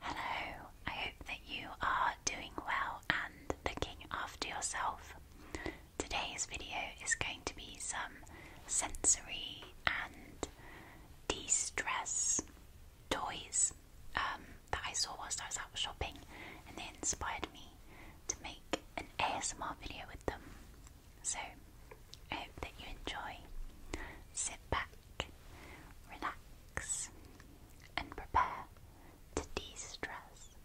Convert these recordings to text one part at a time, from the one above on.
Hello, I hope that you are doing well and looking after yourself. Today's video is going to be some sensory and de stress toys um, that I saw whilst I was out shopping and they inspired me to make an ASMR video with them. So I hope that you enjoy. Sit back relax, and prepare to de stress.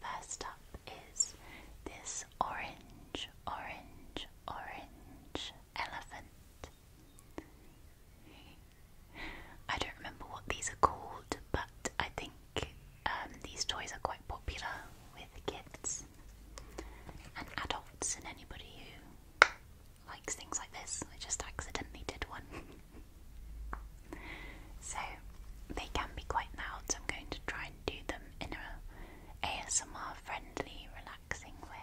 First up is this orange, orange, orange elephant. I don't remember what these are called, but I think um, these toys are quite popular with kids and adults and anybody who likes things like this. I just accidentally did one. so they can be quite loud, so I'm going to try and do them in a ASMR friendly, relaxing way.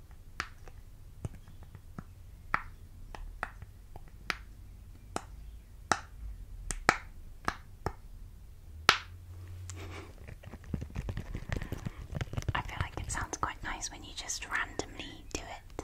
I feel like it sounds quite nice when you just randomly do it.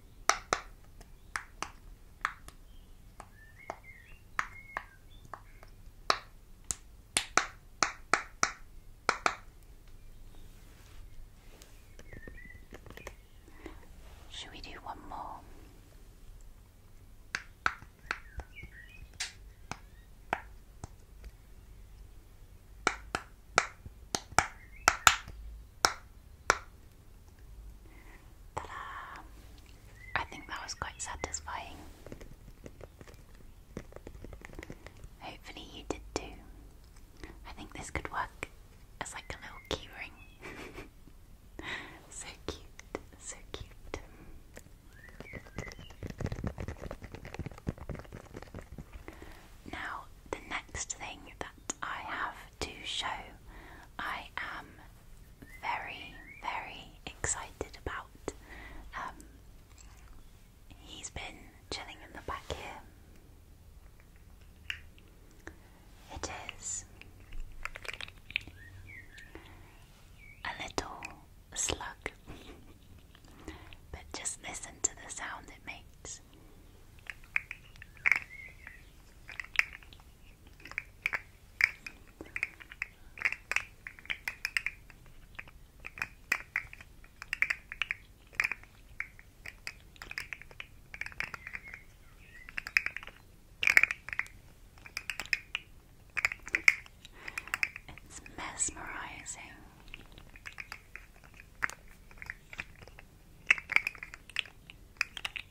Should we do one more? Ta-da! Uh, I think that was quite satisfying. Hopefully you did too. I think this could work as like a little key so cute, so cute. Now the next thing that I have to show I am very, very excited about. Um, he's been chilling in the back here. It is a little slug, but just listen to the sound it makes. It's mesmerizing.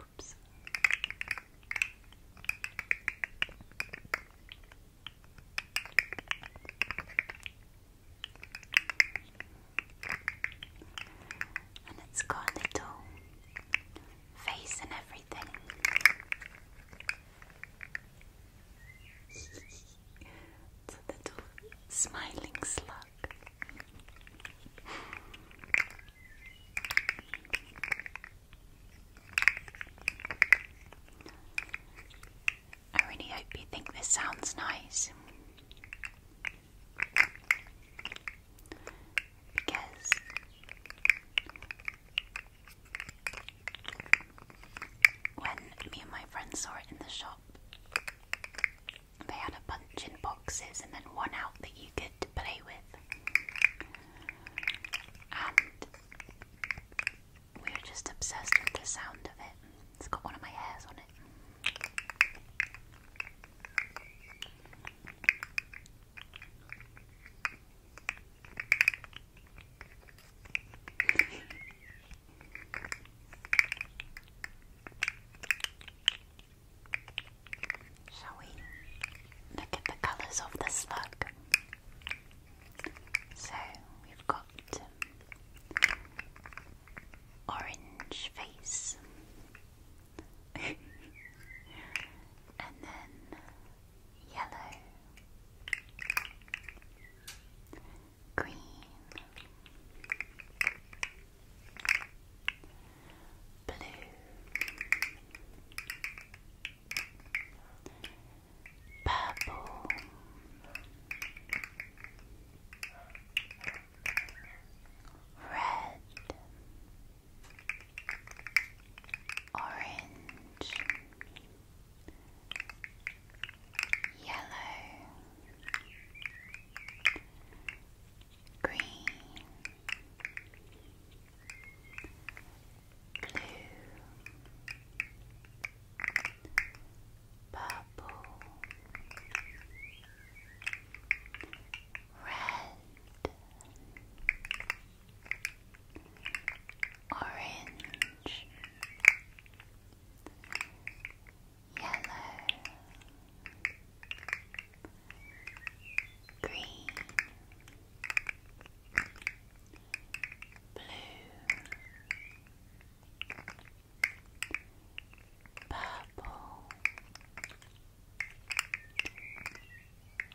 Oops. And it's got little face and everything. it's a little smiling slug. I really hope you think this sounds nice because when me and my friends saw it in the shop, they had a bunch in boxes and then one out that you could good to play with. And we were just obsessed with the sound of it. It's got one of my hairs on it. Shall we look at the colours of the slug? So we've got orange face, and then yellow, green, blue, purple, red, orange, yellow green, blue, purple, red, orange, yellow green, blue, purple,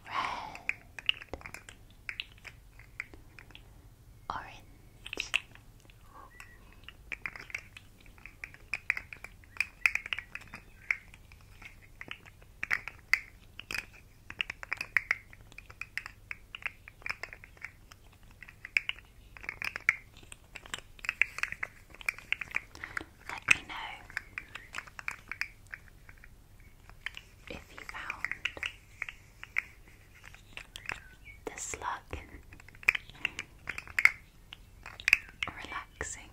red, orange. Let me know if you found the slug relaxing.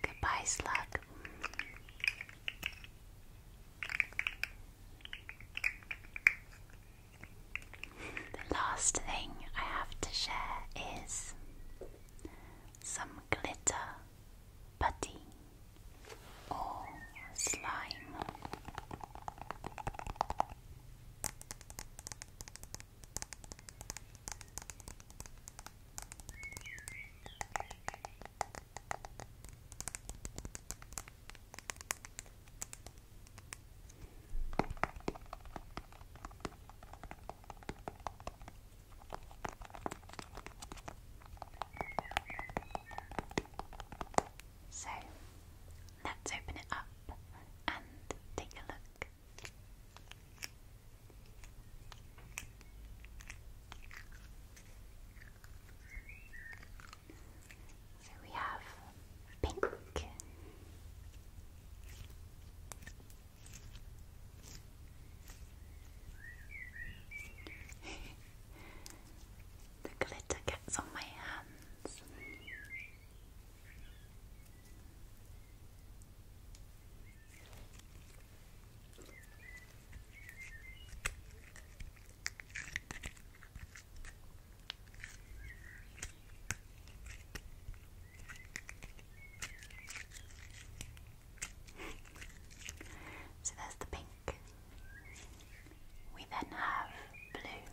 Goodbye, slug. The last thing I have to share is some glitter putty or slime. So let's open it up and take a look. So we have pink. the glitter gets on my hands so there's the pink. We then have blue.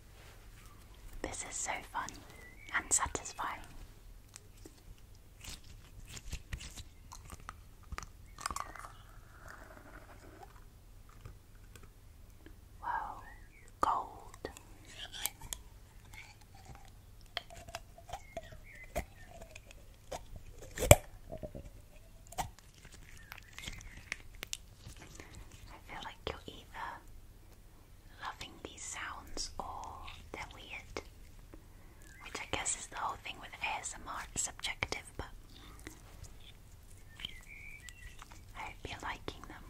This is so fun and satisfying. Whoa, gold. I feel like you're either loving these sounds or that are weird. Which I guess is the whole thing with ASMR, subjective, but I hope you liking them.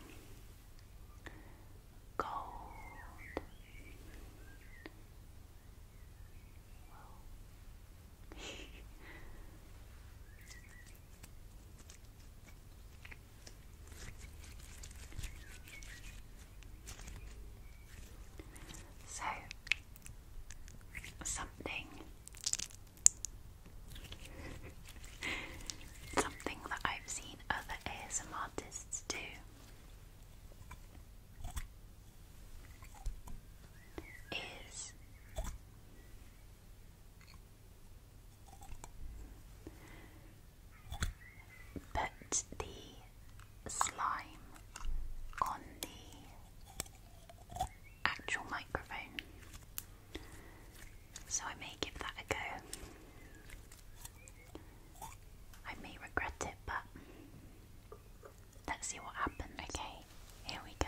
Gold. So, something, something that I've seen other ASM artists do is Put the slime on the actual microphone. So I may give that a go. I may regret it, but let's see what happens. Okay, here we go.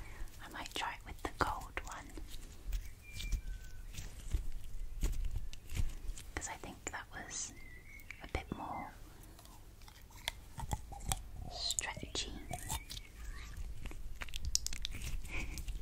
I might try it with the gold one because I think that was a bit more stretchy.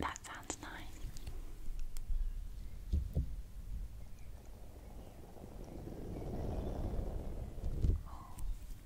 That sounds nice.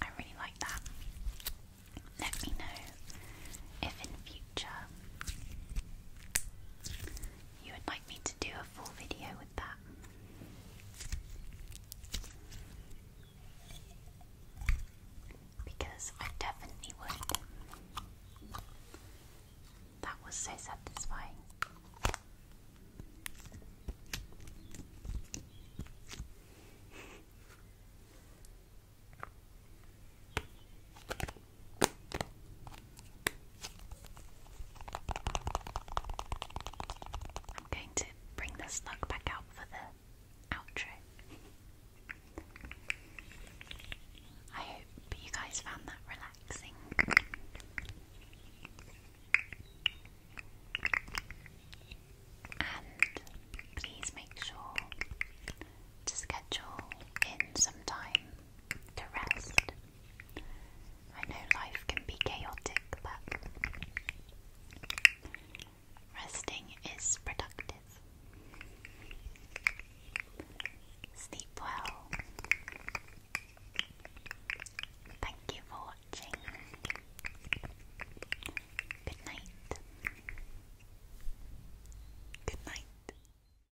I really like that. Let me know if in future you would like me to do a full video with that. Because I definitely would. That was so satisfying. I'm going to bring the snug back out for the outro. I hope you guys found that relaxing. And please make sure to schedule in some time to rest. I know life can be chaotic, but resting is productive. Sleep well. Thank you for watching. Good night. Good night.